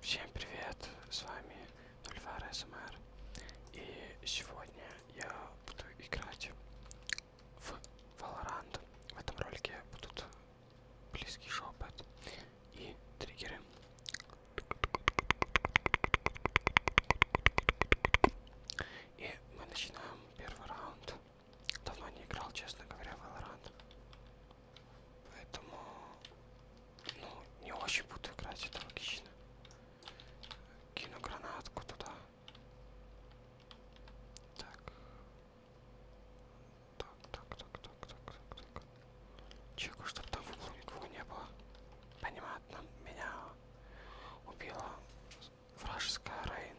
Всем привет, с вами 02 СМР и сегодня я буду играть в Valorant. В этом ролике будут близкий шепот и триггеры. И мы начинаем первый раунд. Давно не играл, честно говоря, в Valorant. Поэтому, ну, не очень буду играть, это логично. Кину гранатку туда. Так. Так, так, так, так, так, так, так. Чеку, чтобы там в углу никого не было. Понятно, меня убила вражеская Рейн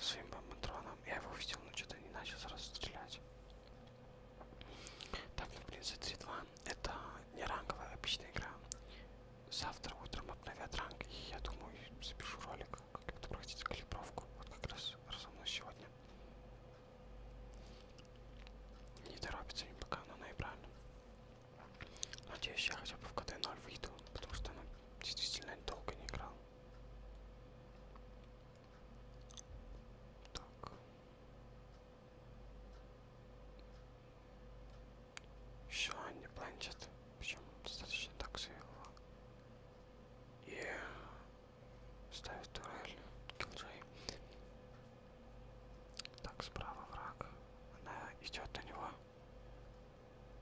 своим бомбатроном. Я его увидел, но что-то не начал сразу стрелять. Так, ну, в принципе, 3-2. Это не ранговая обычная игра. Завтра утром обновят ранг, и я думаю, запишу ролик, как это пройти калибровку. Вот как раз разумно сегодня. Не торопится им пока на ноября. Надеюсь, я хотя бы в КД-0 выйду, потому что она действительно долго не играл. Так. Еще не планчат, причем достаточно так его. И ставит турель Килджей. Так, справа враг. Она идет на него.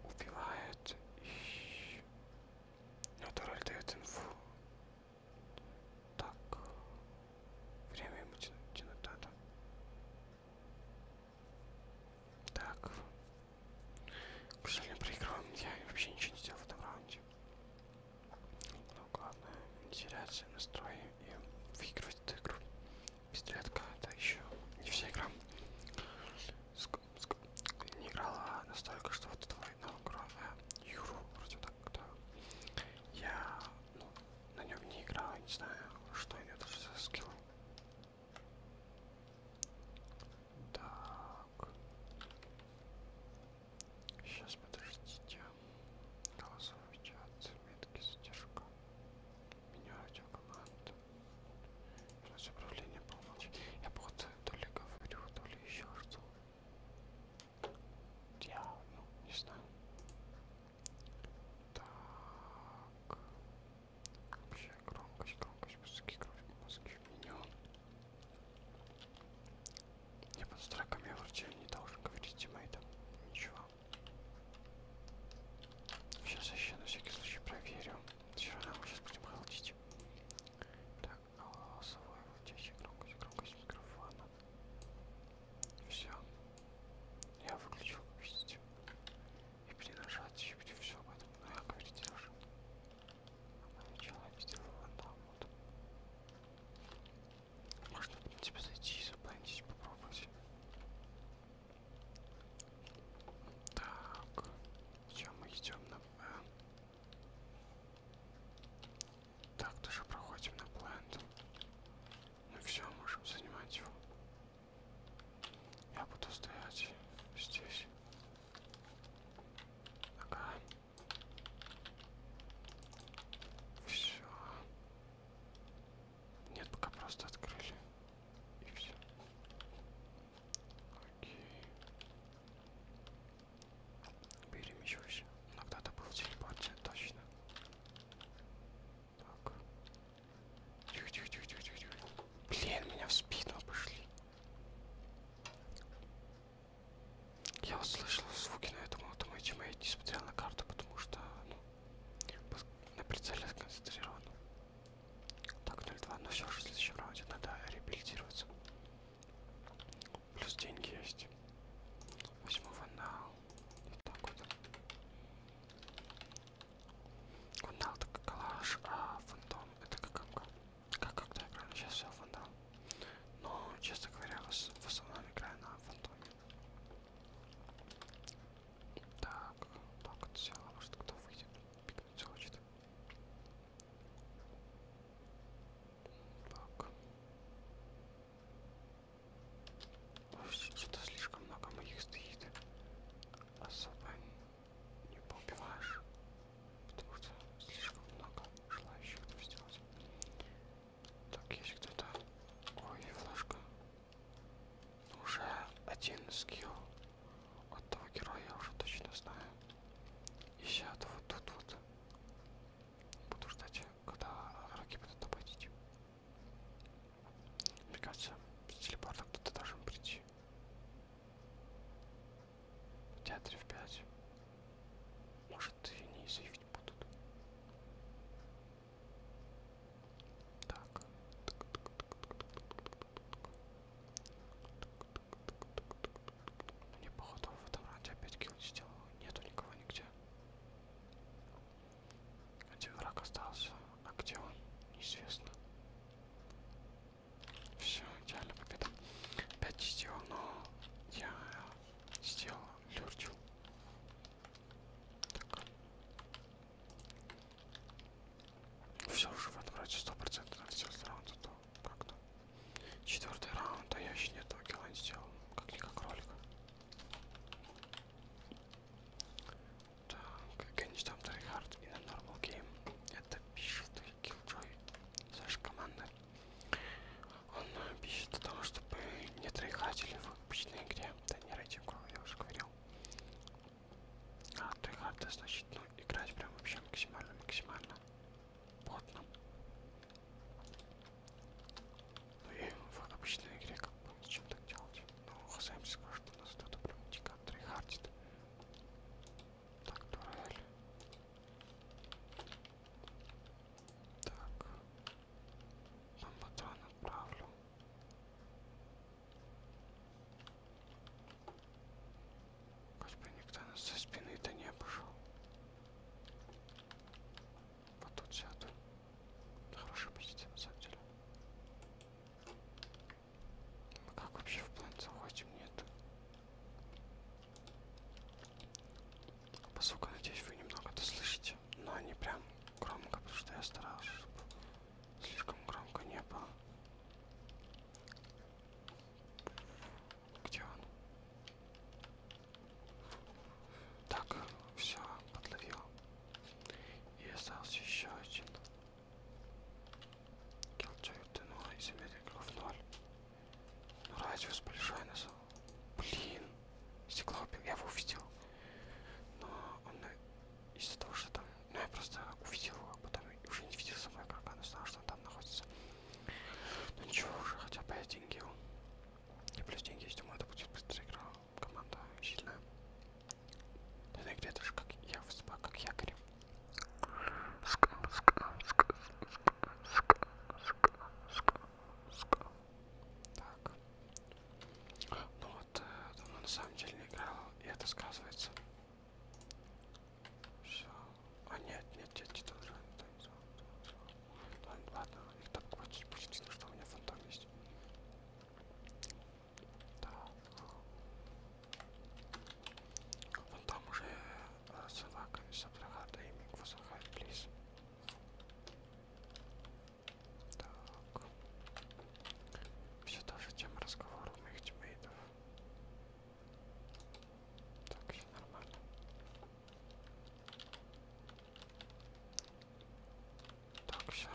Убивает и но Турель дает инфу. Так. Время ему тянуть, тянуть надо. Так. К сожалению, проигрываем. Я вообще ничего не сделал в этом раунде. Ну Но главное не теряться настрой и выигрывать эту игру. Пистолетка, это еще не вся игра. Ск не играла настолько, что вот эта война огромная. Юру вроде так, да. Я ну, на нем не играл, не знаю, что это за скилл. Так. Сейчас подождите. Голосовый чат, метки задержка. Меню радиокоманд. Короче, управление полночь. Я походу то ли говорю, то ли еще что. Я, ну, не знаю. Так. Вообще громкость, громкость, музыки, громкость, музыки миллион. Я под строками я вроде не должен говорить тиммейтам. Ничего. Сейчас еще на всякий случай проверю. Все равно мы сейчас будем холодить. Так, голосовой вытяжи громкость, громкость микрофона. Все. Я выключил, видите. И перенажать еще будет все об этом. Но ну, я говорить даже. Начало сделала там вот. Можно, в принципе, зайти и заплатить, попробовать. Так, все, мы идем на Б. Так, тоже проходим на плент. Ну все, можем занимать его. Я буду стоять здесь. Ага. Все. Нет, пока просто открыли. И все. Окей. Перемещусь. Но кто-то был в телепорте, точно. Так. Тихо, тихо, тихо, тихо, тихо, тихо. Блин, меня в спину обошли. Я услышал звуки, но я думал, это мой тиммейт не смотрел на карту, потому что ну, на прицеле сконцентрирован. Так, 0-2. Ну все же в следующем раунде надо реабилитироваться. Плюс деньги есть. Возьму ванал. Вот так вот. Вандал это калаш, а фантом это как Как когда играю? Сейчас все фантом. Но, честно говоря, в основном играю на фантоме. Так, так, вот все, а может кто выйдет, пикнуть хочет. Так. Что-то слишком много моих стоит. Особо не поубиваешь, потому что слишком много желающих это сделать. Так, есть кто-то... Ой, флажка. Уже один скилл от того героя я уже точно знаю. И сейчас вот тут вот буду ждать, когда враги будут обходить. Мне кажется, с телепорта кто-то должен прийти. В театре в 5. Может и не заявить будут. Так. Так, так, так, так, так, так, так, так, мне походу в этом раунде опять килл не сделал. Нету никого нигде. Один а враг остался. А где он? Неизвестно. Все, идеально победа. Опять не сделал, но я сделал люрчу. Так. Все уже в этом вроде сто процентов сделать раунд, а то как-то. Четвертый раунд, а я еще не этого килла не сделал, как никак ролика. Так, конечно там Трайхард и на Normal Game. Это пишет Киллджой с нашей команды. Он пишет о том, чтобы не трайхатили в обычной игре. Да не рейтинг, я уже говорил. А, три харда, значит, ну, играть прям вообще максимально-максимально потно. Ну и в обычной игре как бы зачем так делать? Ну, хозяин скажет, у нас кто-то прям дико трихардит. Так, дуэль. Так. Бомбатрон отправлю. Хоть бы никто нас со спины-то не обошел. Вот тут сяду. Хорошая позиция на самом деле. Мы как вообще в план заходим? Нет. Поскольку, надеюсь, вы немного это слышите, но не прям громко, потому что я старался, чтобы Слишком громко не было. Где он? Так, все, подловил. И остался еще один. Килчай тянула из игроков ноль. Ну радиус большой нас. Блин. Стекло я его увидел. Но он из-за того, что там, ну я просто увидел его, а потом уже не видел самой игрока, но знал, что он там находится. Ну ничего, уже хотя бы я деньги его. И плюс деньги есть, думаю, это будет быстрая игра, команда сильная. Да где даже как я выступаю, как якорь. Так, ну вот, давно э, на самом деле не играл, и это сказывается. Все. А нет, нет, нет, титан Ладно, ладно, их так хватит, почти, ну что у меня фантом есть. Да. Фантом уже э, собаками собрала, да и миг плиз. Так. Все та же тема разговора у моих тиммейтов. Так, все нормально. Так, все.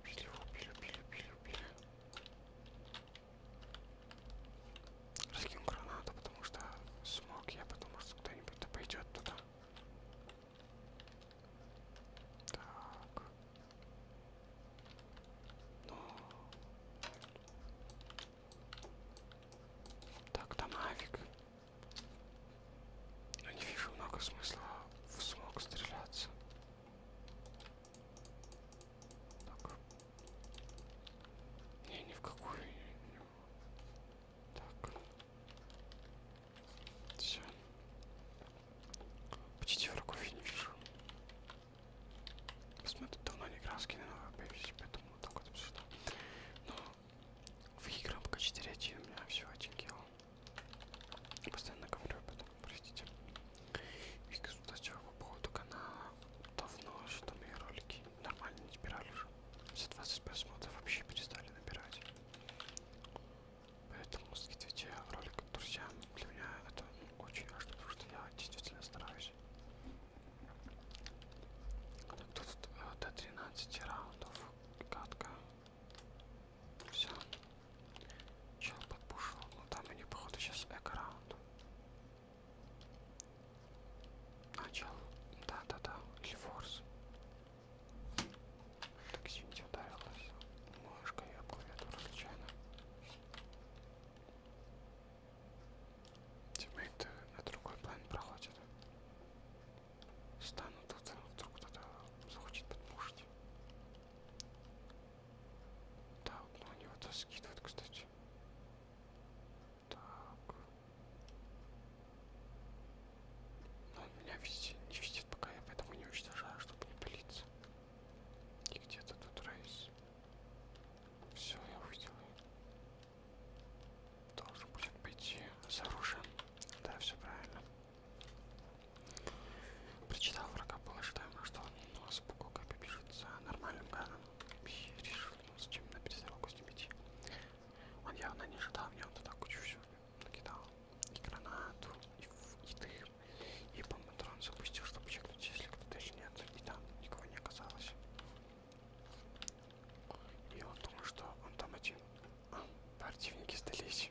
Убили, убили, убили, убили, убили. Раскину гранату, потому что смог я, потому что кто-нибудь пойдет туда. Так. Ну. Так, домовик. Но не вижу много смысла в смог стреляться. Так. Не, ни в какую. Так. Все. Почти врагов я не вижу. Посмотрю, давно не играл скины, но боюсь, поэтому вот так вот обсуждаю. Но выиграл пока 4 1 у меня всего один килл. Я постоянно говорю об этом, простите. И кстати, по поводу канала давно, что мои ролики нормально не набирали уже. За 20 просмотров вообще перестали набирать. Поэтому скидывайте ролик друзьям. Для меня это очень важно, потому что я действительно стараюсь. Тут э, до 13 раундов катка. Все. Чел подпушил. Ну там они походу сейчас эко раунд. А чел. Да, да, да. Или форс. Так сидя ударилась мышкой об клавиатуру случайно. Тиммейты э, на другой план проходят. Стану тут, а вдруг кто-то захочет подпушить. Да, но они вот скидывают, кстати. Так. Но он меня везде, не видит, пока я поэтому не уничтожаю, чтобы не пылиться. И где-то тут рейс. Все, я увидел ее. Должен будет пойти с оружием. Да, все правильно. Прочитал врага положительно, что он с как бежит за нормальным гадом. И решил, ну, зачем на перестрелку с ним идти. Он явно не ожидал мне вот так кучу всего накидал и гранату, и, и дым, и бомбатрон запустил, чтобы чекнуть, если кто-то еще нет, и там никого не оказалось. И он думал, что он там один. А, противники сдались.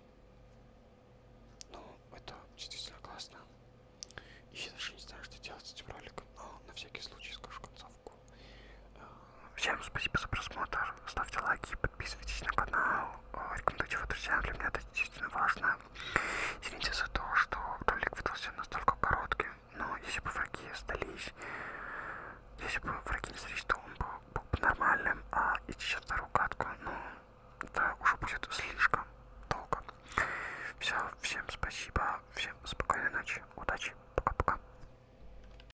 Ну, это действительно классно. И я даже не знаю, что делать с этим роликом, но на всякий случай скажу концовку. Всем спасибо за просмотр. Ставьте лайки, подписывайтесь на канал. Рекомендуйте его друзьям. Для меня это действительно важно. Извините за то, что ролик выдался настолько коротким. Но если бы враги остались, если бы враги не сдались, то он был, был бы нормальным. А идти сейчас вторую катку, ну, это уже будет слишком долго. Все, всем спасибо. Всем спокойной ночи. Удачи. Пока-пока.